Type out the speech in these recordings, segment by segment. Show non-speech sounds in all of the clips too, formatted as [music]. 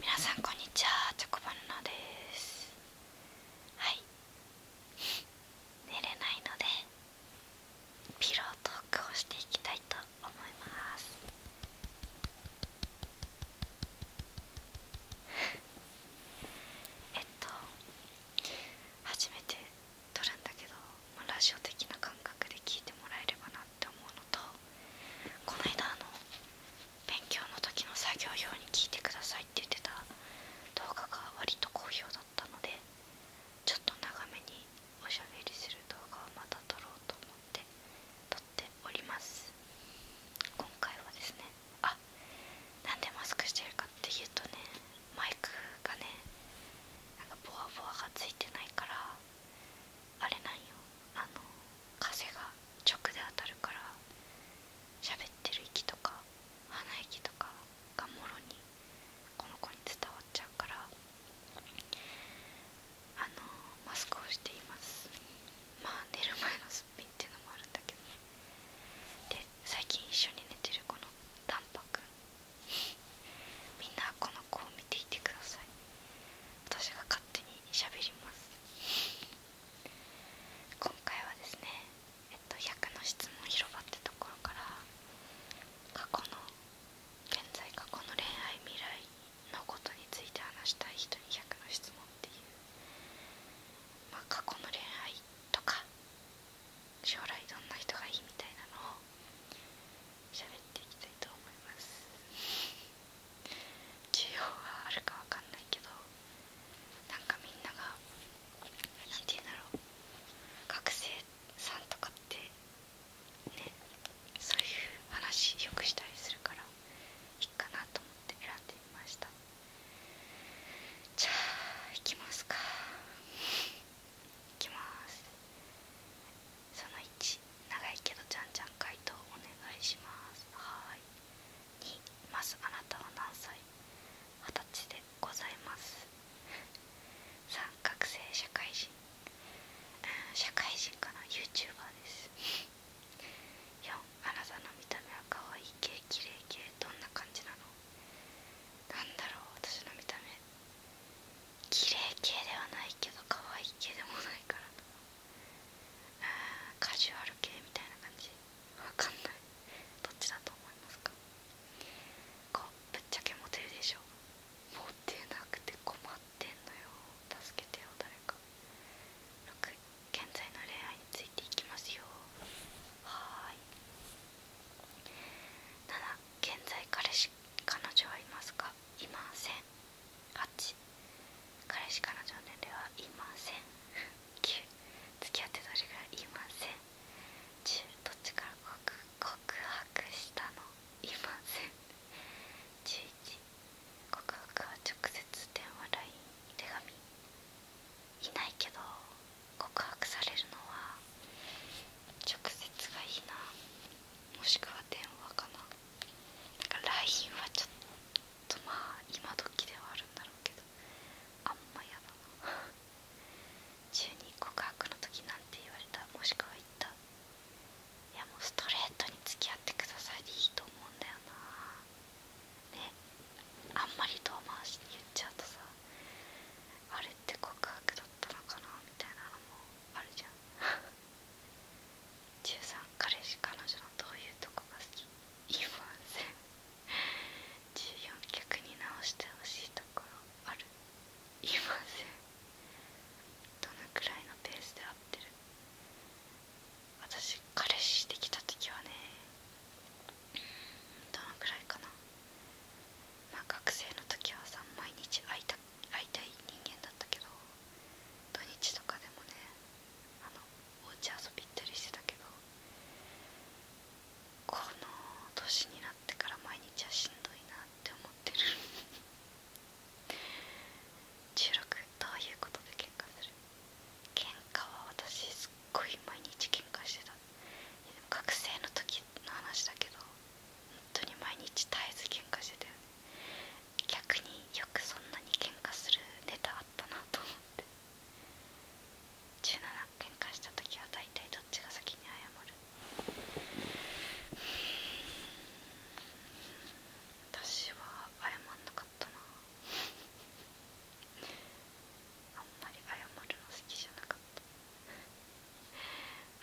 皆さんこんにちはチョコバナナですはい寝れないのでピロートークをしていきたいと思いますえっと初めて撮るんだけどラジオ的な感覚で聞いてもらえればなっ思うのとこの間あの勉強の時の作業用に聞いてくださいって言ってた動画が割と好評だったのでちょっと長めにおしゃべりする動画をまた撮ろうと思って撮っております今回はですねあなんでマスクしてるかっていうとねマイクがねなんかボワボワがついてないからあれなんよあの風が直で当たるから喋ってる息とか鼻息とかがもろにこの子に伝わっちゃうからあのマスクをしていますまあ寝る前のすっぴんっていうのもあるんだけどねで最近一緒に寝てるこのタンパク。みんなこの子を見ていてください私が手に喋ります今回はですねえっと「100の質問広場」ってところから過去の現在過去の恋愛未来のことについて話したい人に100の質問っていうま過去の恋愛とか将来どんな人がいいみたいなのを喋っていきたいと思います需要はあるかわかんないけどなんかみんなが何て言うんだろう学生さんとかってねそういう話よくしたりするからいいかなと思って選んでみましたじゃあいきますかいきますその1長いけどじゃんじゃん回答お願いしますはい2まずあなたは何歳二十歳でございます3学生社会人社会人かな YouTuber です4あなたの見た目は可愛い系綺麗系どんな感じなのなんだろう私の見た目綺麗系ではないけど可愛い系でもないからカジュアル系みたいな感じわかんないどっちだと思いますかこうぶっちゃけモテるでしょモテなくて困ってんのよ助けてよ誰か6現在の恋愛についていきますよはーい7現在彼氏彼女はいますかいません8。彼氏からの年ではいません9 [laughs] 付き合ってどれぐらいいません10どっちから告白したのいません11告白は直接電話 LINE 手紙いないけど告白されるのは直接がいいなもしくは電話かななんか LINE はちょっとまあ今時ではあるんだろうけどあんまやだな中に告白の時なんて言われたもしくは言ったいやもうストレートに付き合ってくださいでいいと思うんだよなねあんまり遠回しに言っちゃうとさあれって告白だったのかなみたいなのもあるじゃん13彼氏彼女のどういうとこが好き言いません14逆に直してほしいところある言いませんどのくらいのペースで会ってる私彼氏できた時はねどのくらいかなまあ学生の時はさ毎日会いた会いたい人間だったけど土日とかでもねあのお家遊び行ったりしてたけどこの年になってから毎日はしんどいなって思ってる [laughs] 収録どういうことで喧嘩する喧嘩は私すっごい毎日喧嘩してた学生の時の話だけど本当に毎日絶えず喧嘩してたよね逆によくそんなに喧嘩するネタあったなと思って17喧嘩した時は大体どっちが先に謝る私は謝んなかったなあんまり謝るの好きじゃなかった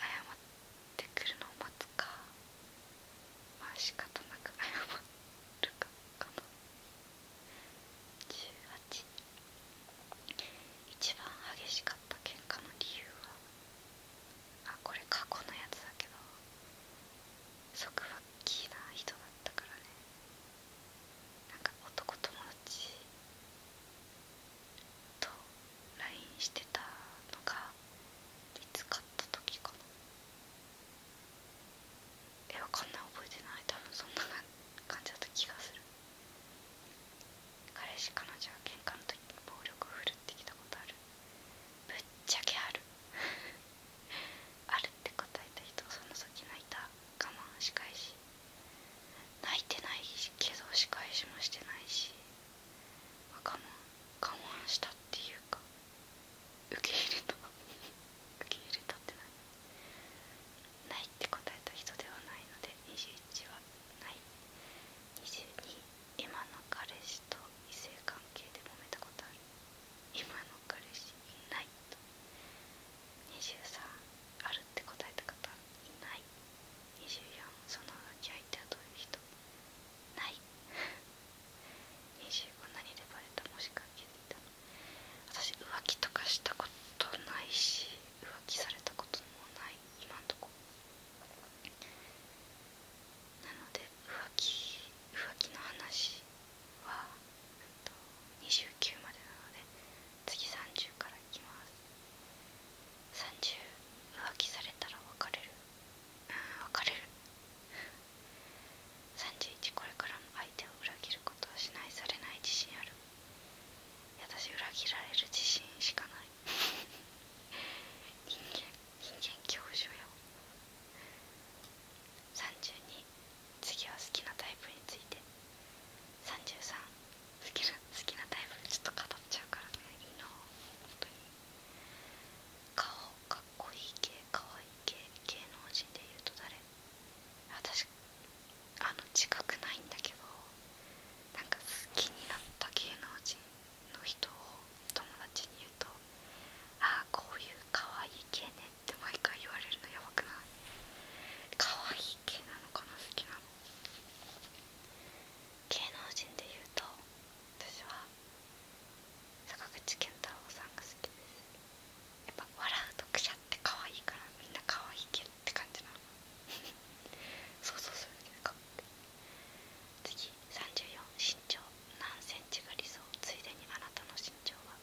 謝ってくるのを待つかまあ仕方なく謝るかかな18一番激しかった喧嘩の理由はあこれ過去のやつだけど束縛キーな人だったからねなんか男友達と LINE してたのがいつ買った時かなえわかんない覚えてない多分そんな感じだった気がする彼氏彼女は喧嘩の時に暴力を振るってきたことあるぶっちゃけある [laughs] あるって答えた人その先泣いた我慢し仕いし泣いてないけど仕返しもしてないし我慢我慢したっていうか受け入れた [laughs] 受け入れたってないないって答えた人ではないので21はない22今の彼氏と異性関係で揉めたことある今の彼氏いないと23あるって答えた方いない24その浮気相手はどういう人ない編集こんなバレたもしか気て。いた私浮気とかしたことないし浮気されたこともない今のとこなので浮気浮気の話は29までなので次30からいきます30浮気されたら別れる別れる31これからも相手を裏切ることはしないされない自信ある私裏切られる自信しかない人間人間教授よ32次は好きなタイプについて33好きなタイプちょっと語っちゃうからねいいな本当に顔顔こいいかわいい系芸能人でいうと誰私あの自覚ないんだけどなんか好きになった芸能人の人を友達に言うと「ああこういうかわいい系ね」って毎回言われるのやばくないかわいい系なのかな好きなの芸能人で言うと私は坂口健太郎さんが好きですやっぱ笑うとくしゃって可愛いからみんな可愛いけって感じなのそうそうそうかっこいい次34身長何センチが理想ついでにあなたの身長は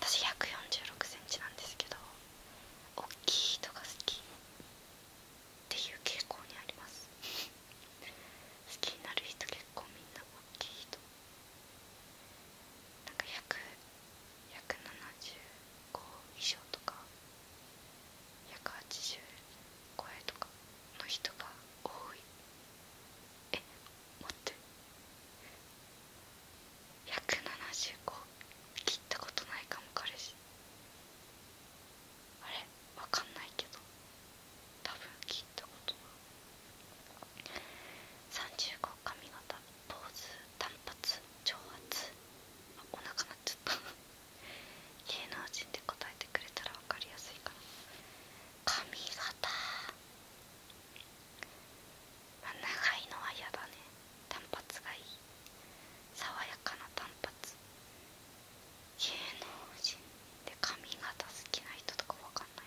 私146センチなんですけど大きい人が好きっていう傾向にあります好きになる人結結構みんな大きい人なんか100175以上とか180超えとかの人が多いえ待って175切ったことないかも彼氏あれわかんないけど多分聞いたことが35髪型坊主短髪長髪あお腹なっちゃった芸能人で答えてくれたら分かりやすいかな髪型まあ、長いのは嫌だね単発がいい爽やかな単発。芸能人で髪型好きな人とかわかんない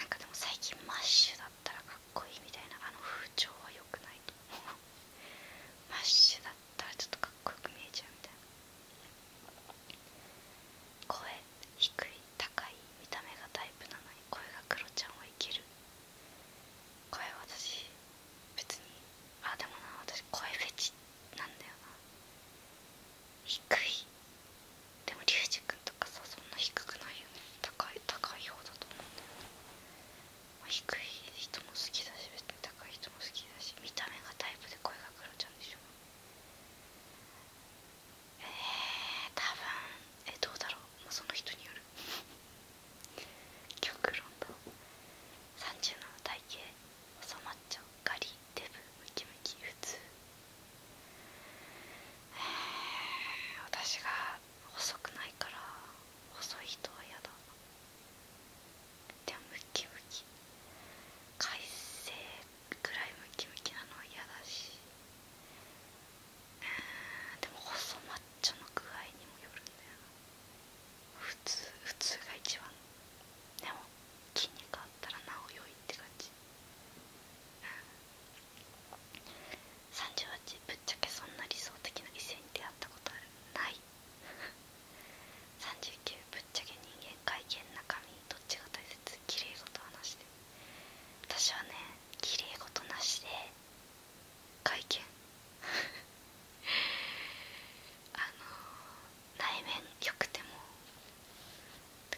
ななんかでも最近マッシュだったらかっこいいみたいなあの風潮は良くないと思う [laughs] マッシュだったらちょっとかっこよく見えちゃうみたいな声低い高い見た目がタイプなのに声がクロちゃんはいける声私別にあでもな私声フェチっなんだよな低いでもリュウジ君とかさそんな低くないよね高い高い方だと思うんだよね、低い人も好きだし別に高い人も好きだし見た目がタイプで声が黒ちゃんでしょえー多分えどうだろう、もうその人による極論だ37体型収まっちゃうガリデブムキムキ普通えー、私が細くないから細い人は嫌だでもムキムキ快晴くらいムキムキなのは嫌だしでも細マッチョの具合にもよるんだよな普通普通が一番でも筋肉あっったらなお良いって感じ38ぶっちゃけそんな理想的な異性に出会ったことある、ない39 [laughs] ぶっちゃけ人間会見中身どっちが大切綺麗事はなしで私はね綺麗事なしで会見 [laughs] あの内面良くても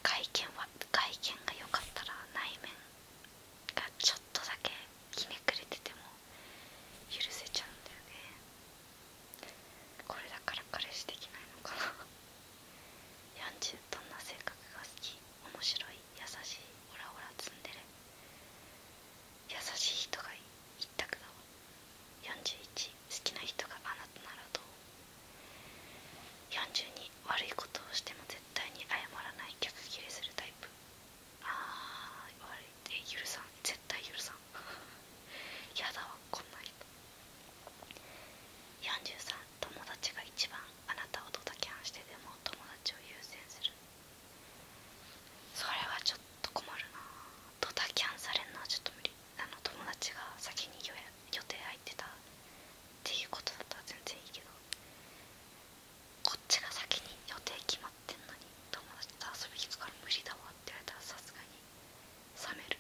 外見は外見が良かったら内面がちょっとだけひめくれてても許せちゃうんだよねこれだから彼氏できないのかな40どんな性格が好き面白い優しいオラオラツンデレ優しい人がいいたくだわ41好きな人があなたならどう42悪いことをしても絶対に謝らない逆切れするタイプあー悪いって許さん絶対許さん [laughs] やだわこんな人43友達が一番あなたをドタキャンしてでも友達を優先するそれはちょっと困るなドタキャンされんのはちょっと無理あの友達が先に予予定入ってたっていうことだったら全然いいけどこっちが先に予定決まってんのに友達と遊び行くから無理だわって言われたらさすがに冷める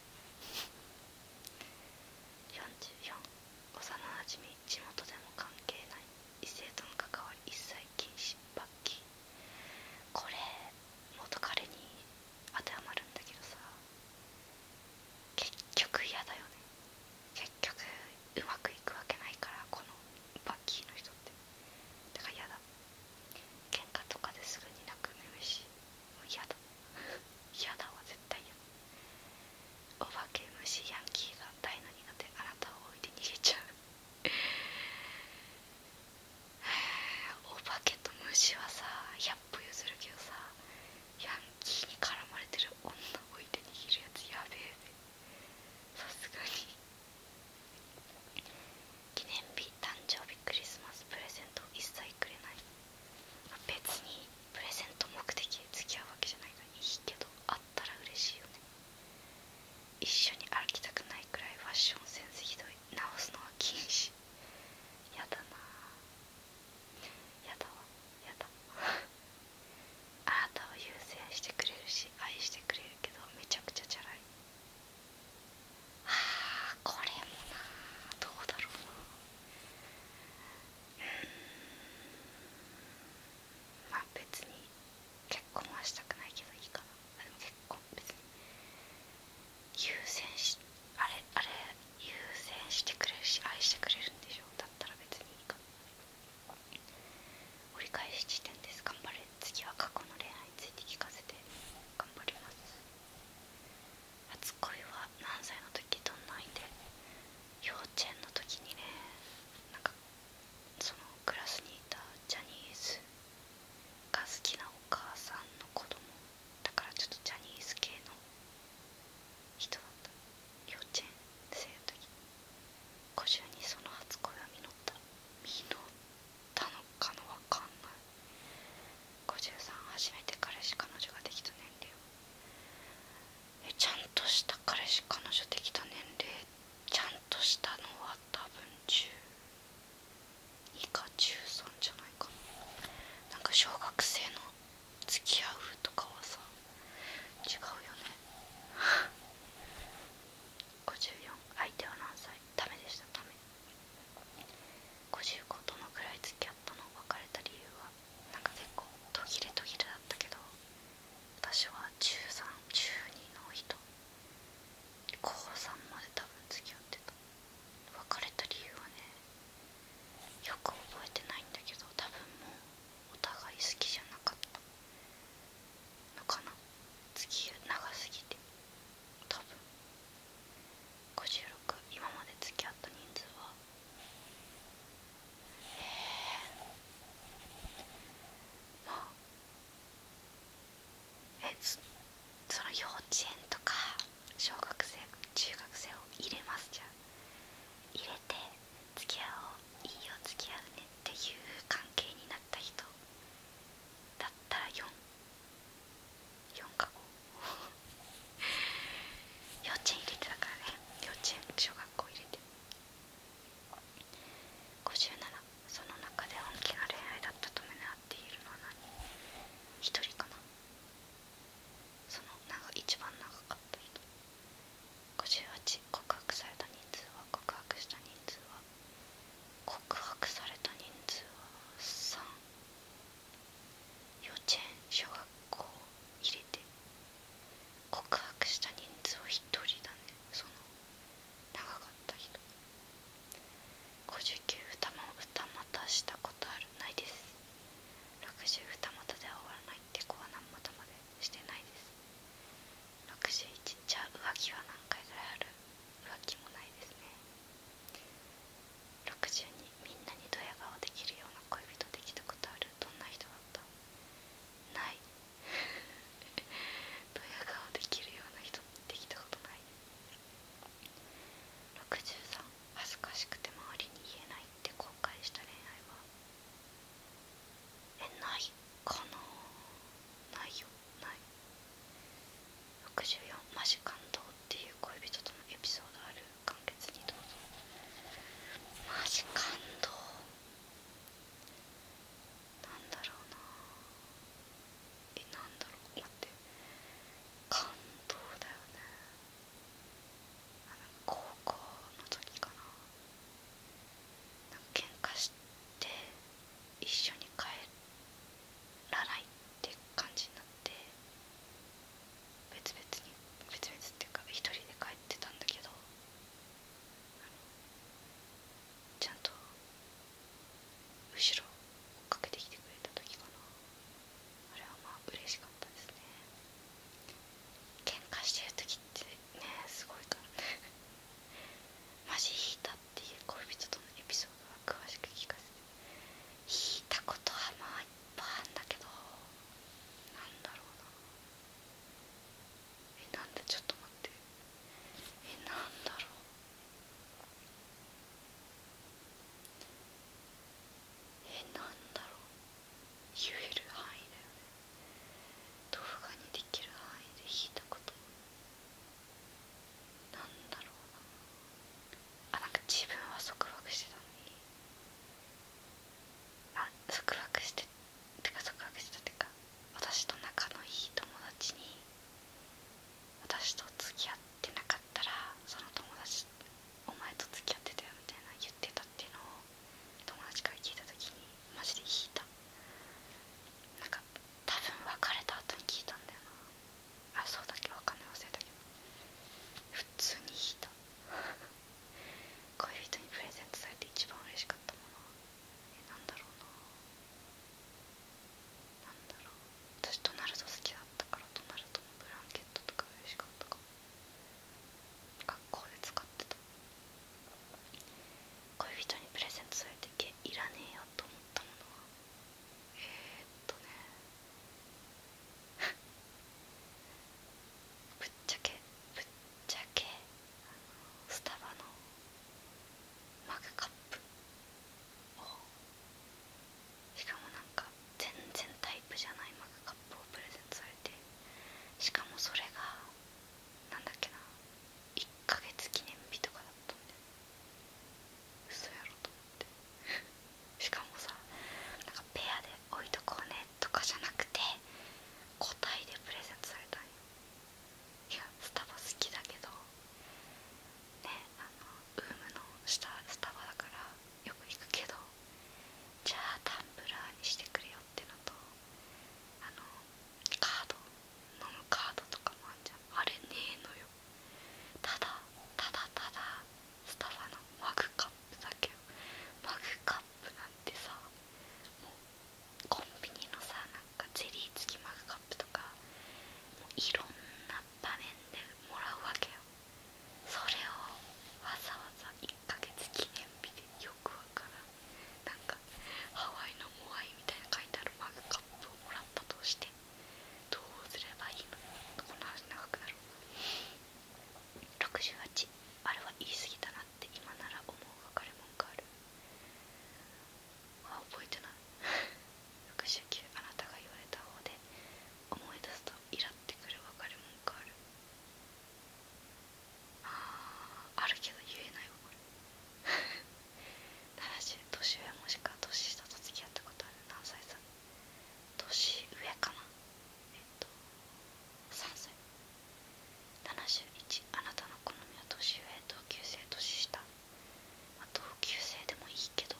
44幼なじみ地元でも関係ない異性との関わり一切禁止罰金これ元彼に当てはまるんだけどさ結局嫌だよね結局うまくいくわけないからこのバッキーの人ってだから嫌だ喧嘩とかですぐになくなるしもう嫌だ嫌だわ絶対嫌だお化け虫ヤンキーが大の苦手あなたを置いて逃げちゃうお化けと虫はさ百歩譲るけどさヤンキーに絡まれてる女を置いて握るやつやべえべさすがに記念日誕生日クリスマスプレゼント一切くれない別にプレゼント目的で付き合うわけじゃないのにいいけどあったら嬉しいよね一緒に歩きたくないくらいファッションセンスひどい直すのは禁止やだなやだわやだ [laughs] あなたを優先してくれるし愛してくれるけどめちゃくちゃじゃないあこれもなどうだろうなうんまあ別に結婚はしたくないけどいいかなあ、でも結婚別に優先しあれあれ優先してくれるし愛してくれるんでしょだったら別にいいかな折り返し地点です頑張れ次は過去の恋愛について聞かせて頑張ります初恋は何歳の時どんな相で。幼稚園の時にねなんかそのクラスにいたジャニーズが好きなお母さんの子供だからちょっとジャニーズ系の人だった幼稚園生の時古中にその初恋は実った実ったのかのわかんない53初めて彼氏彼女ができた年齢えちゃんとした彼氏彼女できた年齢ちゃんとしたのは多分10以下中3じゃないかななんか小学生の付き合うとかはさ違うよね54 [laughs] 相手は何歳ダメでしたダメ55どのくらい付き合ったの別れた理由はなんか結構途切れ途切れだったけど私は1312の人高3まで多分付き合ってた別れた理由はねよく覚えてないんだけど多分もうお互い好きじゃなかったのかな次長すぎて多分56今まで付き合った人数はええ。まあえずその幼稚園とか小学生中学生を入れますじゃん入れて付き合おういいよ付き合うねっていう関係になった人だったら44か5 [laughs] 幼稚園入れてだからね幼稚園小学校入れて57その中で本気な恋愛だったと胸なっているのは何1人かなその長一番長かった人58告白された人数は告白した人数は告白された人数は3幼稚園小学校入れて告白した人数は1人だねその長かった人59歌も歌またしたことあるないです60歌またでは終わらないって子は何またまでしてないです61じゃあ浮気は何回ぐらいある浮気もないですね62みんなにドヤ顔できるような恋人できたことあるどんな人だったない [laughs] ドヤ顔できるような人できたことない63恥ずかしくて周りに言えないって後悔した恋愛はえないかなないよない64マジ感動っていう恋人とのエピソードある完結にどうぞマジ感動なんだろうなえなんだろう待って感動だよねあの高校の時かななんか喧嘩して一緒に帰らないって感じになって別々に別々っていうか一人で帰ってたんだけどちゃんと後ろ追っかけてきてくれた時かなあれはまあ嬉しかったですね喧嘩してる時ってねすごいからね [laughs] マジ引いたっていう恋人とのエピソードは詳しく聞かせて引いたことはまあいっぱいあるんだけどなんだろうなえなんだちょっと待ってえなんだろうえなんだろう言える範囲だよね動画にできる範囲で弾いたことなんだろうなあなんか自分は束縛してたのにあ束縛しててか束縛してたってか私と仲のいい友達に私と付き合ってってなかったらその友達お前と付き合ってたよみたいな言ってたっていうのを友達から聞いた時にマジで引いたなんか多分別れた後に聞いたんだよなあそうだっけわかんない忘れたけど普通に引いた恋人にプレゼントされて一番嬉しかったものえなんだろうななんだろう私ドナルド好きだったからドナルドのブランケットとか嬉しかったかも学校で使ってた恋人にプレゼントされてけいらねえよと思ったものはえー、っとね [laughs] ぶっちゃけぶっちゃけスタバのマグカップしかもなんか全然タイプじゃないマグカップをプレゼントされてしかもそれがなんだっけな1ヶ月記念日とかだったんで嘘やろと思って [laughs] しかもさなんかペアで置いとこうねとかじゃなくて個体でプレゼントされたんよいやスタバ好きだけどねあのウームの下スタバだからよく行くけどじゃあタンブラーにしてくれよってのとあのカード飲むカードとかもあんじゃんあれねえのよただただただスタバのマグカップだけよマグカップなんてさもうコンビニのさなんかゼリー付きマグカップとかもういろんな場面でもらうわけよそれをわざわざ1ヶ月記念日でよくわからんなんかハワイのモアイみたいな書いてあるマグカップをもらったとしてどうすればいいのこの話長くなる68あれは言い過ぎたなって今なら思う別れ文があるあ覚えてない69 [laughs] あなたが言われた方で思い出すとイラってくる分かるもんかあるああるけど言えないわこれただ [laughs] 年上もしくは年下と付き合ったことある何歳さん。年上かなえっと3歳71あなたの好みは年上同級生年下、まあ、同級生でもいいけど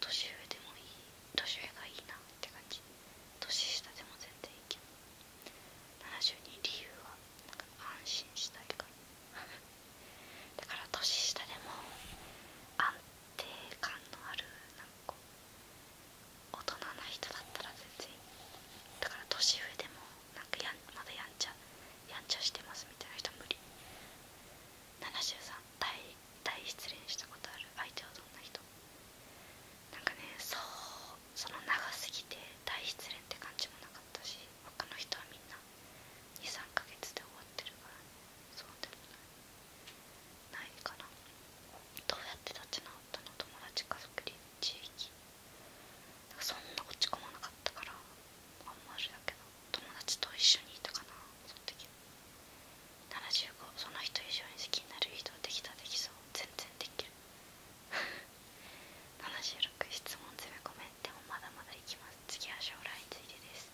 年上でもいい年上がいいなって感じ年下でも全然いけない72理由は安心したいから [laughs] だから年下でも安定感のあるなか大人な人だったら全然いいだから年上でもなんかやんまだやんちゃやんちゃしてますみたいな人無理73体対失恋したことある相手はどんな人なんかねそうその長すぎて大失恋って感じもなかったし他の人はみんな23ヶ月で終わってるからそうでもないないかなどうやって立ち直ったの友達家族地域そんな落ち込まなかったからあんまりだけど友達と一緒にいたかなその時75その人以上に好きになる人できたできそう全然できる76 [laughs] 質問攻めコメントもまだまだいきます次は将来についてです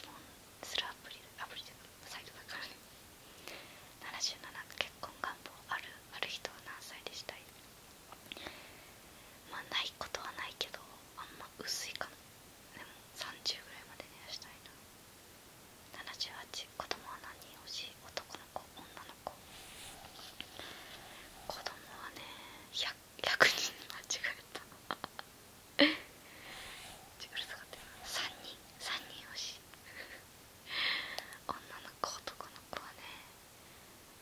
質問するアプリアプリとサイトだからね77結婚願望あるある人は何歳でしたいまあないことはないけどあんま薄いかもでも30ぐらいまでにはしたいな78子供は何人欲しい男の子女の子子供はね 100, 人間違えたちぐる3人3人欲しい女の子男の子はね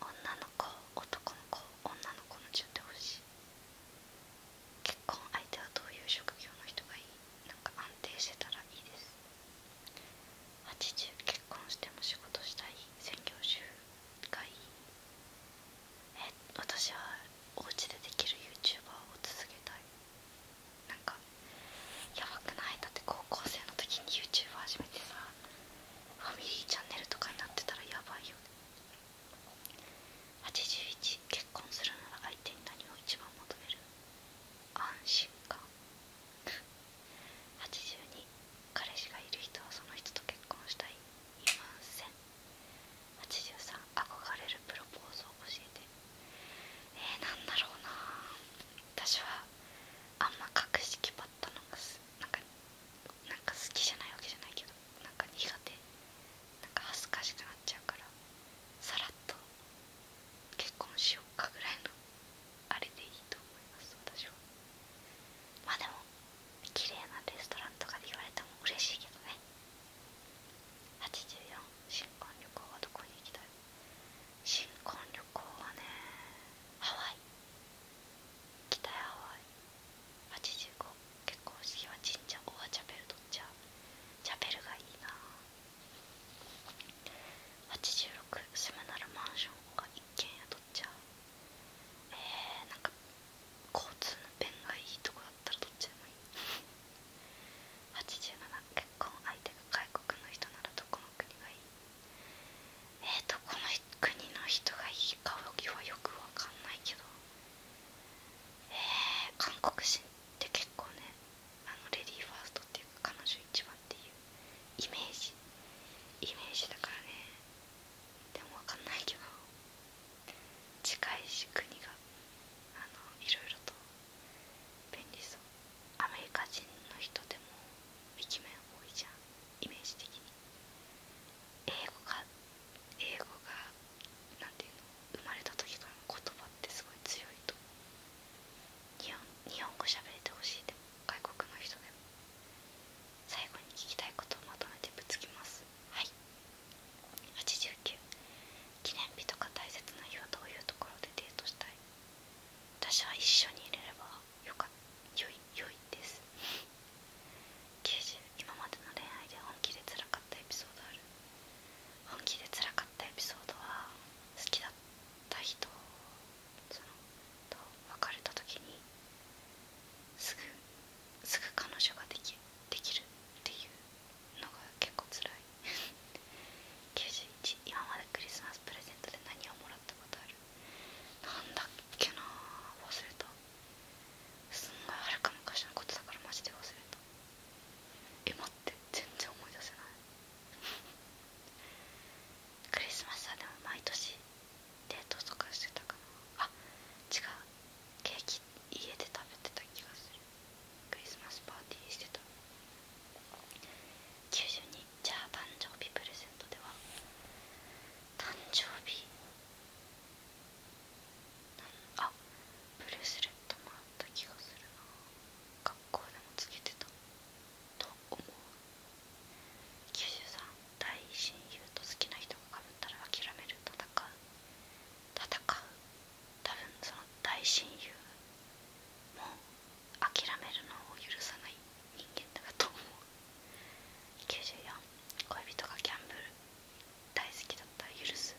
女の子男の子女の子の順で欲しい結婚相手はどういう職業の人がいいなんか安定してたらいいです80結婚しても仕事したい専業主婦がいいえ私はお家でできる YouTuber を続けたいなんかやばくないだって高校生の時に YouTuber 始めてさファミリーチャンネルとかになってたらやばいよね81結婚するなら相手に何を一番求める安心感82彼氏がいる人はその人と結婚したいいません83憧れるプロポーズを教えてえー、なんだろうな私はあんま格式ばったのがなんか好きじゃないわけじゃないけどなんか苦手恥ずかしくなっちゃうからさらっと結婚しようかぐらいのあれでいいと思います私はまあでも綺麗なレストランとかで言われても嬉しいけどね84新婚旅行はどこに行きたい新婚旅行はねハワイ北ハワイ85結婚式は神社オアチャペルどっちゃチャペルがいいな86住むならマンションが一軒家どっちゃえー、なんか交通の便がいいとこだったらどっちでもいい87結婚相手が外国の人ならどこの国がいいえーとこの国の人がいいかはよくわかんないけどえー、韓国人で結構ねあのレディーファーストっていうか彼女一番っていうイメージイメージだからねでも分かんないけど近いし国があのいろと便利そうアメリカ人の人でもイケメン多いじゃんイメージ的に英語が英語がなんていうの生まれた時からの言葉ってすごい強いと日本日本語喋れてほしいでも外国の人でも最後に聞きたいことをまとめてぶつきますはい89記念日とか大切な日はどういうところでデートしたい私は一緒にいれればよかよいよいです90今までの恋愛で本気で辛かったエピソードある本気で辛かったエピソードは好きだった人そのと別れた時にすぐすぐ彼女ができできるっていうのが結構辛い91 [laughs] 今までクリスマスプレゼントで何をもらったことあるなんだっけな忘れたすんごいはるか昔のことだからマジで忘れたえ待って全然思い出せないクリスマスはでも毎年デートとかしてたかなあ違うケーキ家で食べてた気がするクリスマスパーティーしてた92じゃあ誕生日プレゼントでは誕生日あブルースレットもあ気がする学校でもつけてたと思う93大親友と好きな人がかぶったら諦める戦う戦う多分その大親友も諦めるのを許さない人間だと思う94恋人がギャンブル大好きだったら許す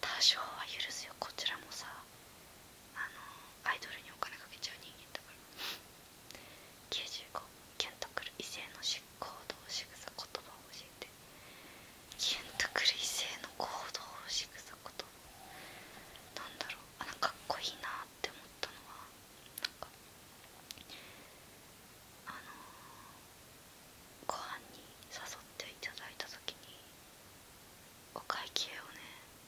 多少は許すよこちらもさあのアイドルにお金かけちゃう人間だから95ケントくる異性の行動仕草言葉を教えてケントくる異性の行動仕草言葉なんだろうあなんかかっこいいなって思ったのはなんかあのご飯に誘っていただいた時にお会計をね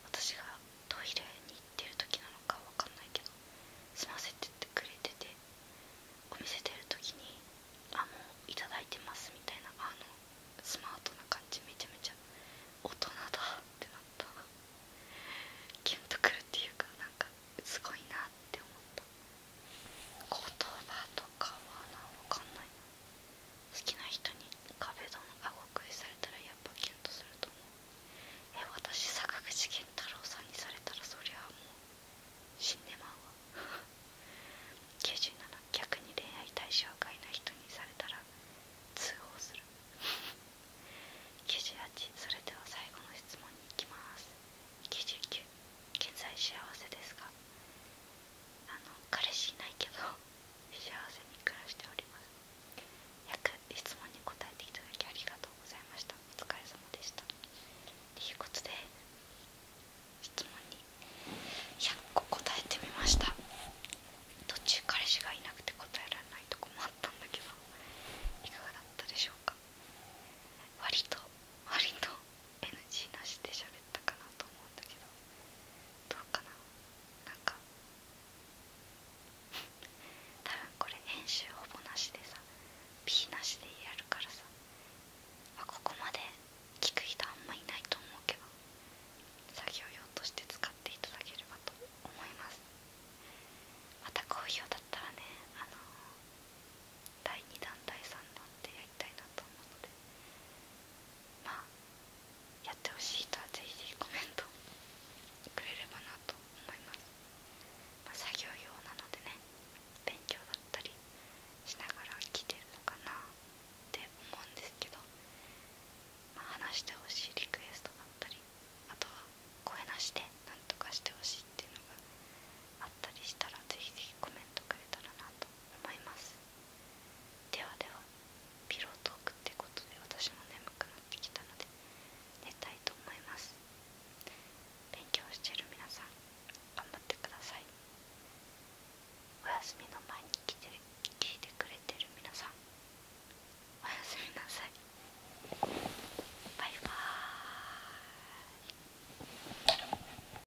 私がトイレに行ってる時なのかわかんないけど済ませてってくれててお店出る時に「あもういただいてます」みたいなあのスマートな感じめちゃめちゃ大人だってなったキュンとくるっていうかなんかすごいなって思った。言葉とかはな分かんないな好きな人に壁ドンあご食いされたらやっぱキュンとすると思うえ私坂口健太郎さんにされたらそりゃもう死んでまうわ97逆に恋愛対象外な人にされたら通報する98それでは最後の質問に行きます99現在幸せですかあの彼氏いないけど幸せに暮らしております約質問に答えていただきありがとうございましたお疲れ様でしたということで質問に100個答えてみました途中彼氏がいなくて答えられないとこもあったんだけどいかがだったでしょうか割と割と NG なしで喋ったかなと思うんだけどどうかななんか [laughs] 多分これ編集ほぼなしでさ P なしでやるからさあここまで聞く人あんまいないと思うけど作業用として使っていただければと思いますまた好評だったらねあの第2弾第3弾でやりたいなと思うのでまあやってほしい人はぜひぜひコメントくれればなと思います、作業用なのでね勉強だったりしながら来てるのかなって思うんですけど、ま話してほしいリクエストだったりあとは声なしで何とかしてほしいっていうのがあったりしたらぜひぜひコメントくれたらなと思いますではではピロートークってことで私も眠くなってきたので寝たいと思います勉強してる皆さん頑張ってくださいお休みの前に来て聞いてくれてる皆さんおやすみなさいバイバーイ